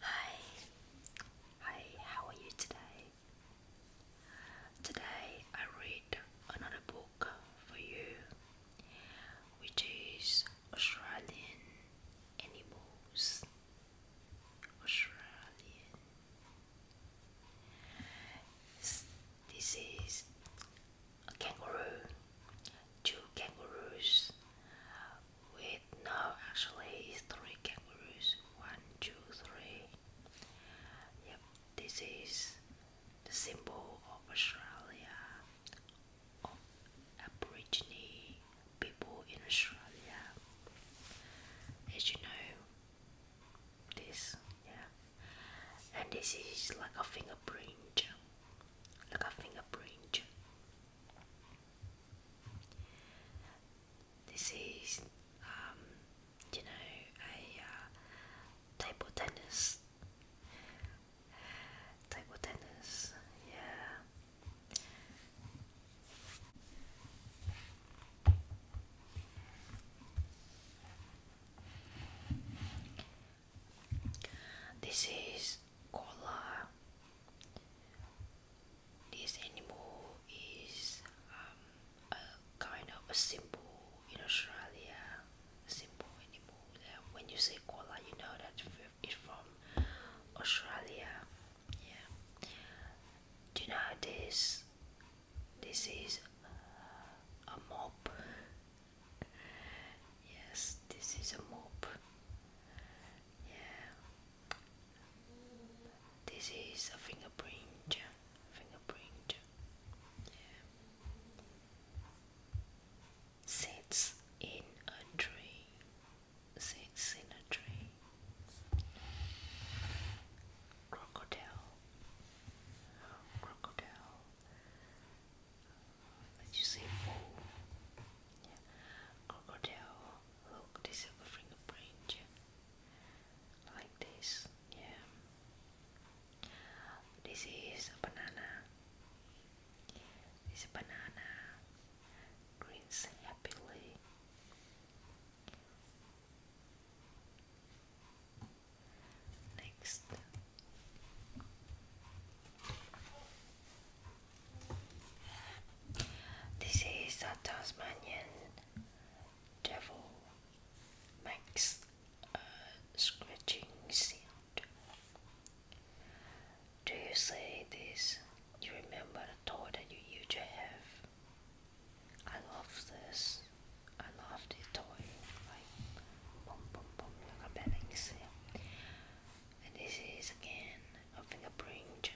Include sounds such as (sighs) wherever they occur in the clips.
Hi, hi, how are you today? Today I read another book for you, which is Australian Animals. Australian. This is a kangaroo, two kangaroos with no actually it's three kangaroos one two three yep this is the symbol of Australia of Aborigine people in Australia as you know this yeah and this is like a fingerprint like a fingerprint this is, um, you know, a uh, table tennis. Table tennis, yeah. This is color. This animal is um, a kind of a symbol in Australia, a symbol animal. When you say koala, you know that it's from Australia. Yeah. Do you know this? This is uh, a mob. yes, this is a mob. Yeah. This is a fingerprint. Fingerprint. Yeah. Sits in a tree. Sits in a tree. Crocodile. Crocodile. Did you say oh, Yeah. Crocodile, look, this is a fingerprint. Like this, yeah. This is a banana. This banana. Grins happily. Next, this is a Tasmanian devil makes a scratching sound. Do you see this? You remember the toy that you used to have? I love this. I love this toy. Like boom boom boom like a balancing and this is again a fingerprint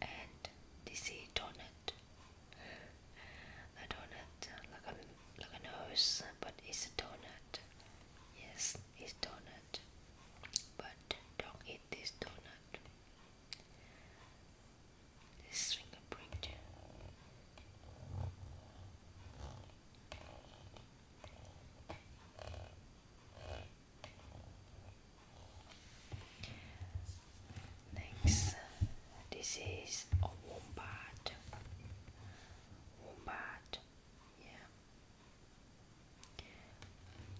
and this is donut a donut like a, like a nose but it's a donut yes it's donut but don't eat this donut this fingerprint Next, this is a wombat. Wombat, yeah.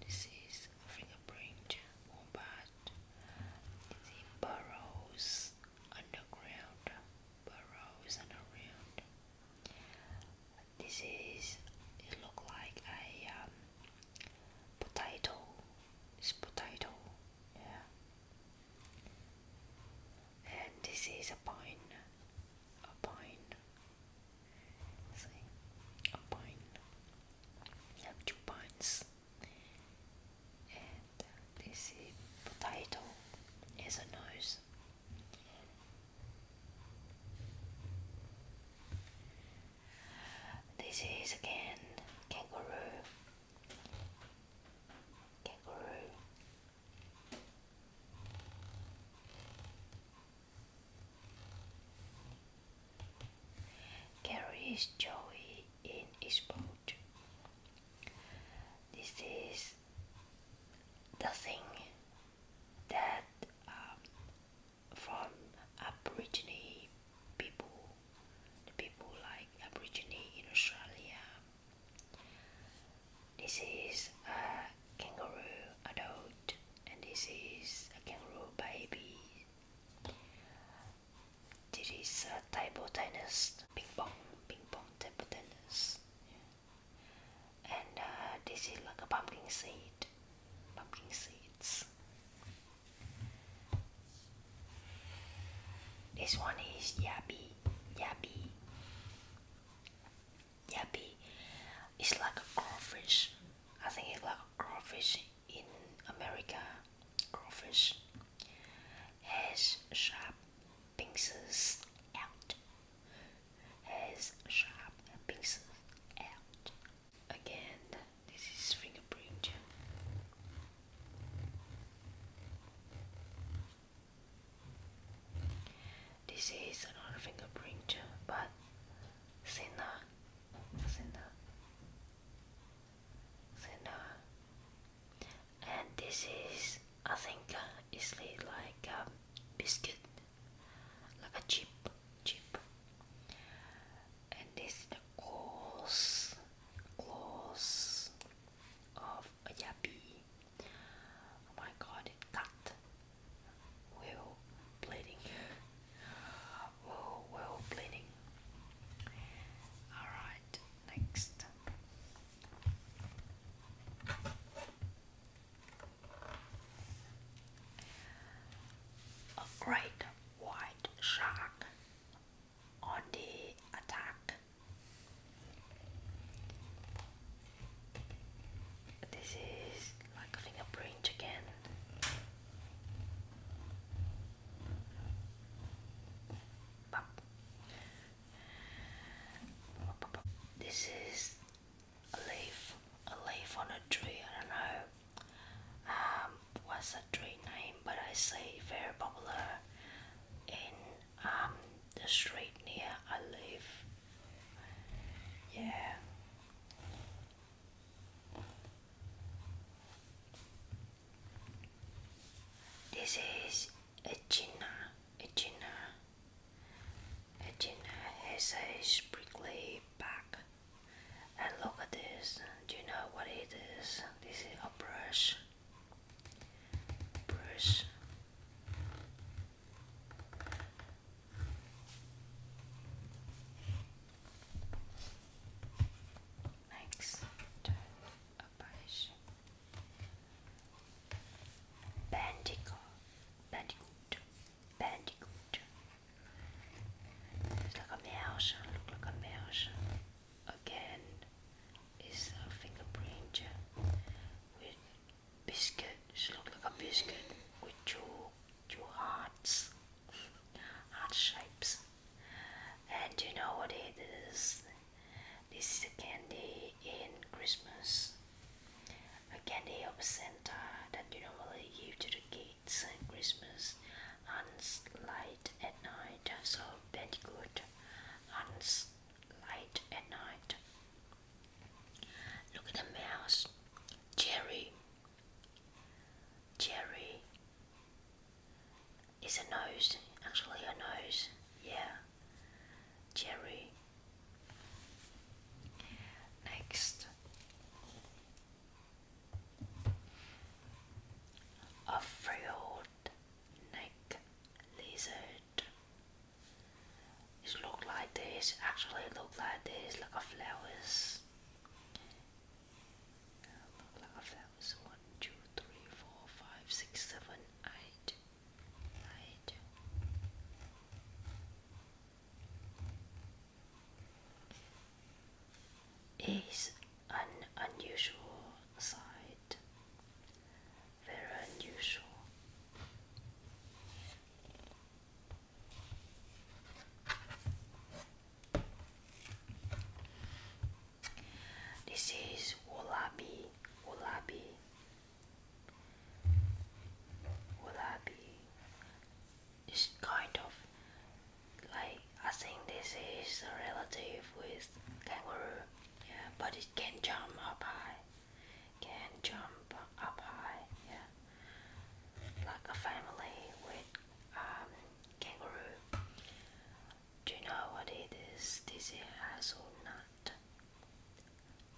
This is fingerprint wombat. It burrows underground. Burrows underground. This is it look like a um, potato. It's potato, yeah. And this is a pine, a pine. See, a pine. You have two pines, and this is potato. Is a nose. This is again kangaroo, kangaroo. Carries joy in his boat. This is the thing that um, from Aborigine people, people like Aborigine in Australia. This is a kangaroo adult, and this is a kangaroo baby. This is a table tennis, ping pong, ping pong table tennis. Yeah and uh, this is like a pumpkin seed pumpkin seeds this one is yabi yabi yabi it's like a crawfish I think it's like a crawfish in America crawfish has sharp pincers out. Has sharp pincers out. Again, this is fingerprint. This is another fingerprint, but thinner, thinner, thinner and this is I think uh, is like um, biscuit like a chip chip and this is the close close of a yappy oh my god it cut well bleeding well well bleeding Alright, next. A great white shark on the attack. This is like a fingerprint again. Bop. This is a leaf, a leaf on a tree. I don't know um, what's the tree name, but I say very popular in um, the street near I live. Yeah. This is Echina, Echina. Edina hesitates briefly back. And look at this. Do you know what it is? This is a brush. Brush. Next, a brush. Bandicoot, bandicoot, bandicoot. It's like a mouse, look like a mouse. Again, is a fingerprint with biscuit. It looks like a biscuit with two two hearts, (laughs) heart shapes. And you know what it is? This is a candy in Christmas. A candy of Santa that you normally give to the kids in Christmas Hunts light at night, so very good. Hunts light at night. Look at the mouse. Jerry. Jerry. Is a nose, actually a nose. Yeah. Jerry. Next, a frilled neck lizard. It look like this. Actually, it look like this, like a flowers. One, two, three, four, five, six, seven, eight right? Is an unusual sight, very unusual. This is wallaby, wallaby, will I be? It's kind of like I think this is a relative with kangaroo, yeah, but it can jump up high, can jump up high, yeah, like a family with um, kangaroo. Do you know what it is? This is hazelnut.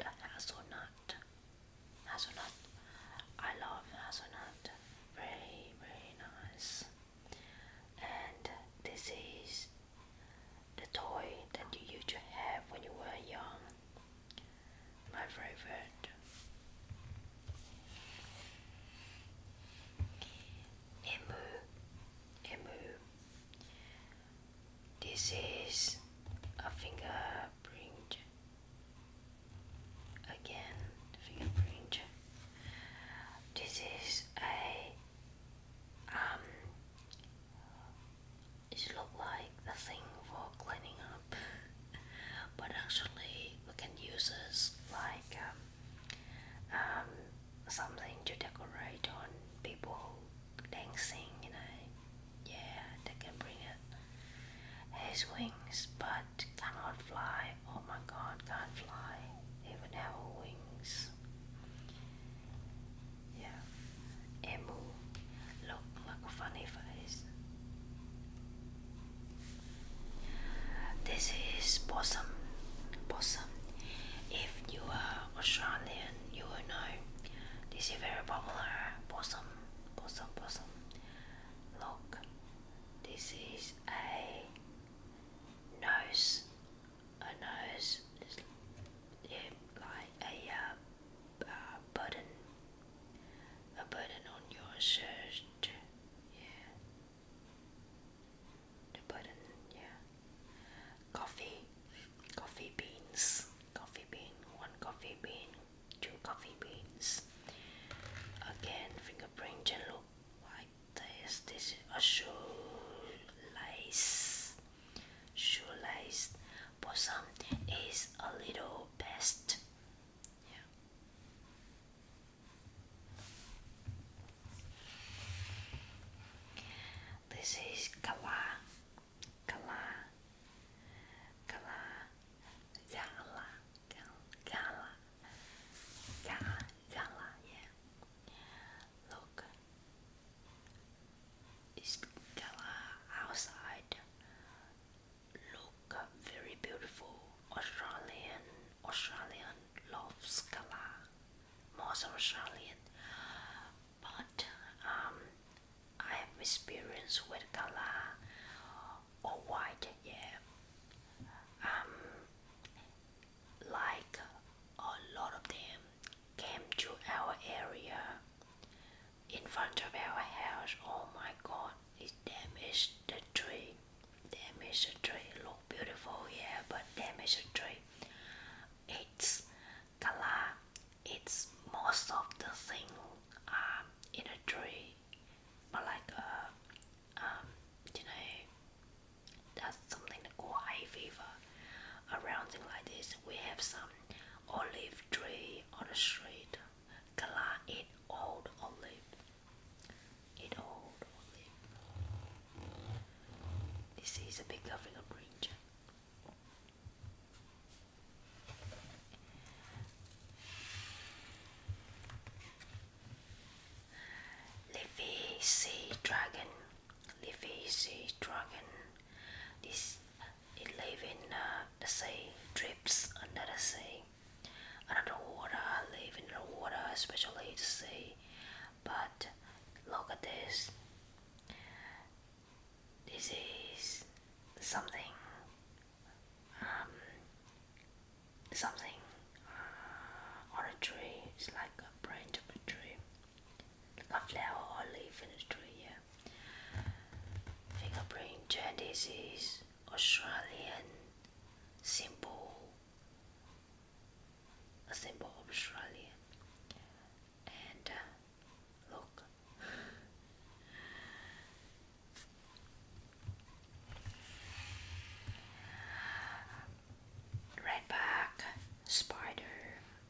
hazelnut. Hazelnut. I love hazelnut. Very, very nice. And this is the toy that you used to have when you were young. My favorite. Emu. Emu. This is a fingerprint. Again, fingerprint. This is a um. It look like the thing for cleaning up, but actually we can use this like um, um something to decorate on people dancing, you know. Yeah, they can bring it. His wings, but cannot fly. Oh my God, can fly. Even have wings. Yeah, emu, look like a funny face. This is possum. Possum. If you are Australian you will know this is very popular possum possum possum look this is a nose a nose yeah, like a uh, a burden on your shirt yeah to yeah. Coffee, coffee beans, coffee bean, one coffee bean, two coffee beans. Again, fingerprint and look like this. This is a shoelace. Shoelace. Possum is a little pest. Yeah. This is Kala, Kala, Kala, Yala, Yala, Yala, Yala, yeah. Look, it's Kala outside. Look, very beautiful Australian, Australian loves Kala most Australian, but um, I have experience with color or white, yeah. Um, like a lot of them came to our area in front of our house. Oh my God, it damaged the tree. Damaged the tree. Look beautiful, yeah, but damaged the tree it's color it's most of the thing um, in a tree but like uh, um, you know that's something called eye fever around thing like this we have some olive tree on the street color it old olive it old olive this is a big African ranger. Leafy sea dragon, leafy sea dragon. This it live in uh, the sea, drips under the sea, under the water, live in the water, especially the sea but look at this. This is something, um, something uh, on a tree. It's like a branch of a tree, like a flower or leaf in a tree. Yeah. Think I Fingerprint. This is Australian symbol a symbol of Australia. And uh, look, redback spider,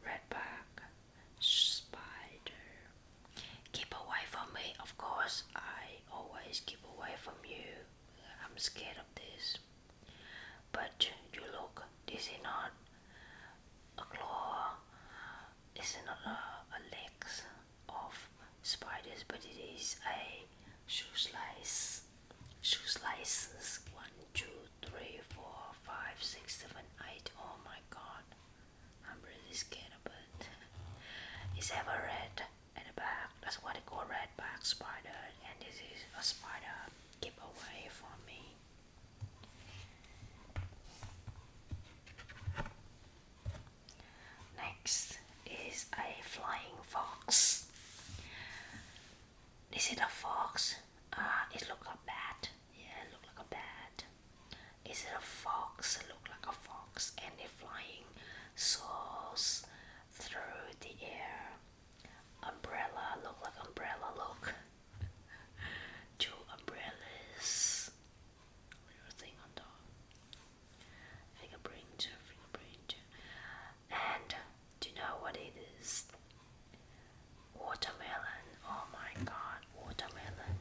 redback spider. Keep away from me, of course. I always keep away from you. I'm scared of this. But you look, this is not a claw, this is not a, a legs of spiders, but it is a shoe slice. Shoe slices. One, two, three, four, five, six, seven, eight. Oh my god. I'm really scared of it. (laughs) it's ever red and the back. That's why they call red back spider. And this is a spider giveaway for me. Next is a flying fox. This is a fox. Uh, it looks like a bat. Yeah, it like a bat. Is it a fox? It looks like a fox and it flying soars through the air umbrella look like umbrella look two umbrellas thing on top fingerprint fingerprint and do you know what it is watermelon oh my god watermelon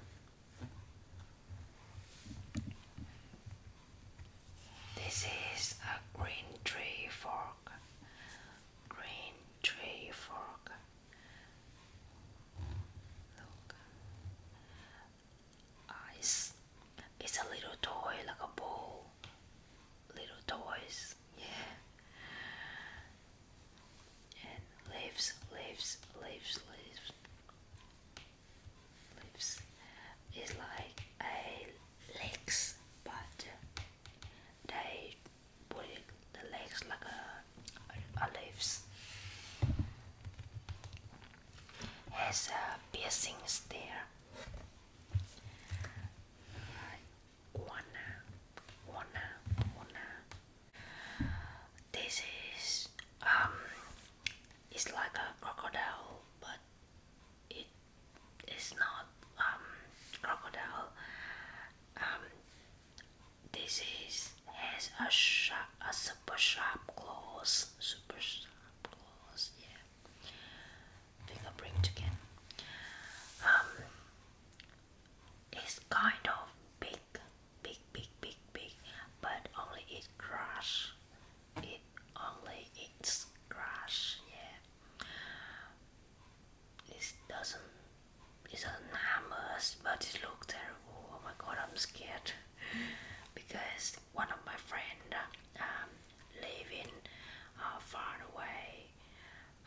this is a green tree fork green tree frog. Look, uh, it's, it's a little toy like a ball. Little toys, yeah. And leaves, leaves, leaves, leaves, leaves. It's like a legs, but they put the legs like a, a, Has a piercing stare. Wanna, wanna, wanna. This is um, it's like a crocodile, but it it's not um, crocodile. Um, this is has a sharp, a super sharp claws, super sharp claws. Yeah, fingerprint chicken. Um, it's kind of big, big, big, big, big, but only eat grass. It only eats grass. Yeah. This doesn't it doesn't harm us, but it looked terrible. Oh my god, I'm scared because one of my friend um, living uh, far away.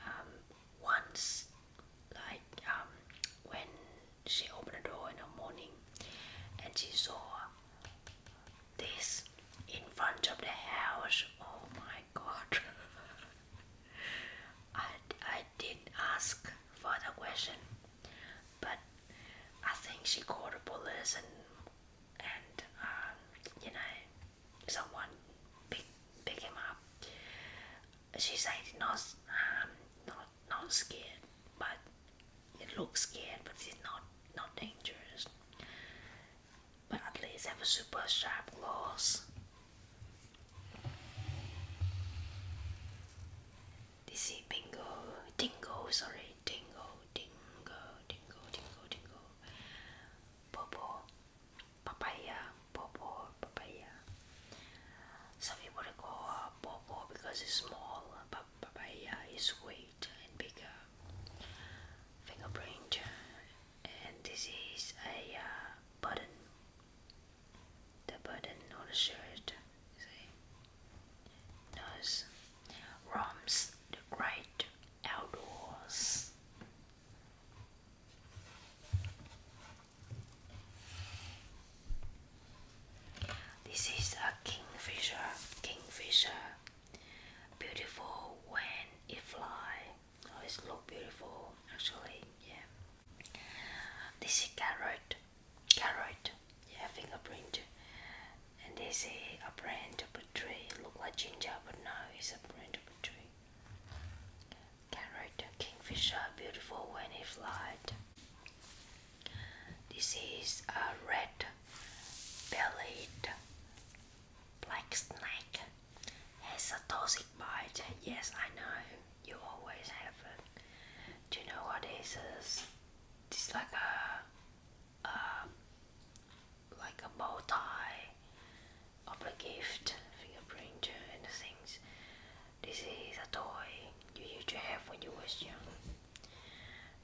Um, once, like um, when she opened the door in the morning, and she saw this in front of the house. Oh my god. (laughs) I, I didn't ask for the question, but I think she called the police and and um, you know someone pick pick him up. She said not um, not not scared, but it looks scared, but it's not not dangerous but at least have a super sharp claws. This is bingo, dingo, sorry, dingo, dingo, dingo, dingo, dingo, popo, papaya, popo, papaya. Some people call her uh, popo because it's small, but papaya is weight and bigger fingerprint and this is a uh, button the button on the shirt see nose the great outdoors this is a kingfisher kingfisher beautiful when it fly always oh, look beautiful actually yeah this is carrot carrot yeah fingerprint and this is a brand of a tree look like ginger but now it's a brand of a tree carrot kingfisher beautiful when it flies this is a red bellied Black snake has a toxic bite. Yes, I know. You always have it. Do you know what this is? It's like a, a like a bow tie of a gift, fingerprinter and things. This is a toy you used to have when you was young.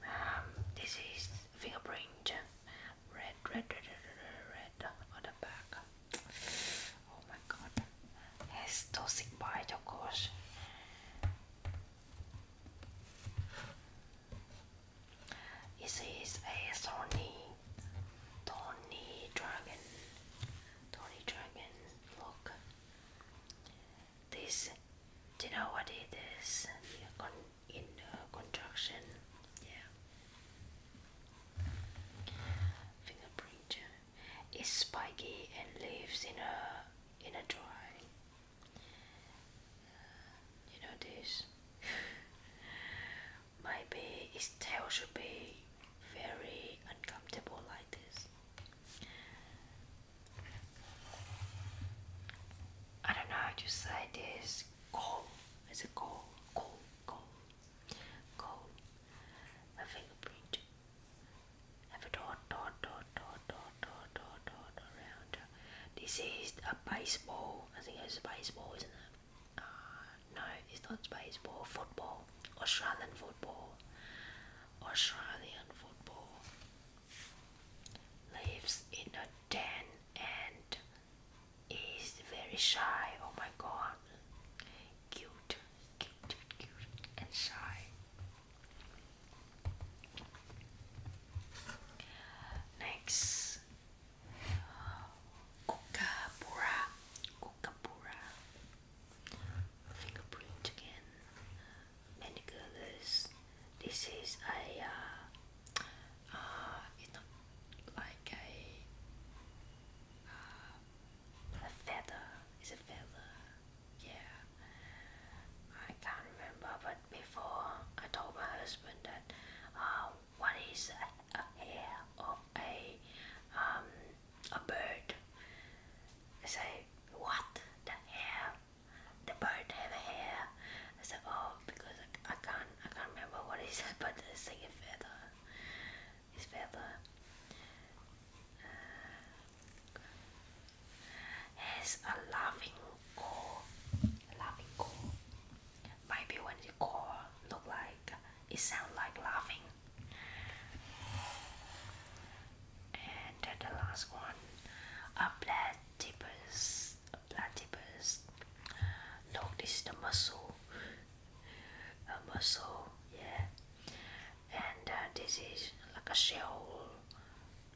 Um, this is finger fingerprint red, red, red, red, red on the back. Oh my god, it's toxic bite, of course. It says a Sony Tony Dragon. Tony Dragon, look. This, do you know what it is? in uh, contraction. Yeah. Fingerprint is spiky and lives in a in a dry. Uh, you know this. (sighs) Maybe its tail should be very uncomfortable like this. I don't know how to say this is coal. It's a coal, coal, A fingerprint. Have a dot, dot, dot, dot, dot, dot, dot, dot around. This is a baseball. I think it's a baseball, isn't it? Uh, no, it's not baseball. Football. Australian football. Australian football. Lives in a 10 and is very shy. Oh my god. Cute, cute, cute, and shy. Next, Kookaburra. Kookaburra. Fingerprint again. Many This is a uh, uh, it's not like a uh, feather. It's a feather. Yeah, I can't remember. But before, I told my husband that uh, what is a hair of a um, a bird? I say what the hair the bird have a hair. I said, oh, because I, can't, I can't remember what he (laughs) said, but the like feather. His feather. Uh, has a laughing call. A laughing core. Maybe when the call look like, it sound like laughing. And then the last one, a black tippers platypus. Look, this is the muscle. A mussel, yeah. And uh, this is like a shell,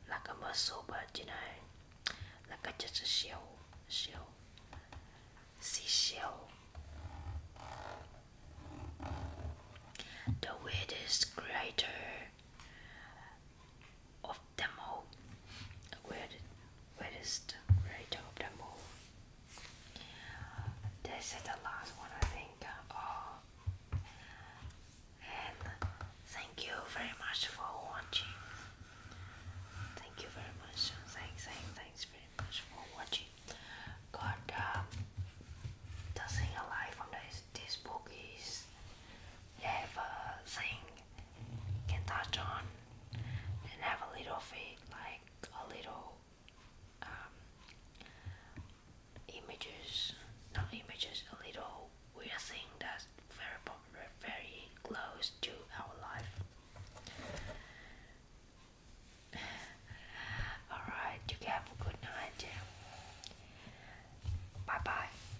like a muscle, but you know, like a, just a shell, shell, seashell. The weirdest creator of them all. Where, where is the rate of them all? This is the last one, I think. Oh, and thank you very much for watching. Thank you very much. Thanks, thanks, thanks very much for watching. God, uh, the alive from this, this book is have can touch on and have a little feed, like a little um, images, not images, a little weird thing that's very popular, very close to our life. (sighs) Alright, you have a good night. Bye bye.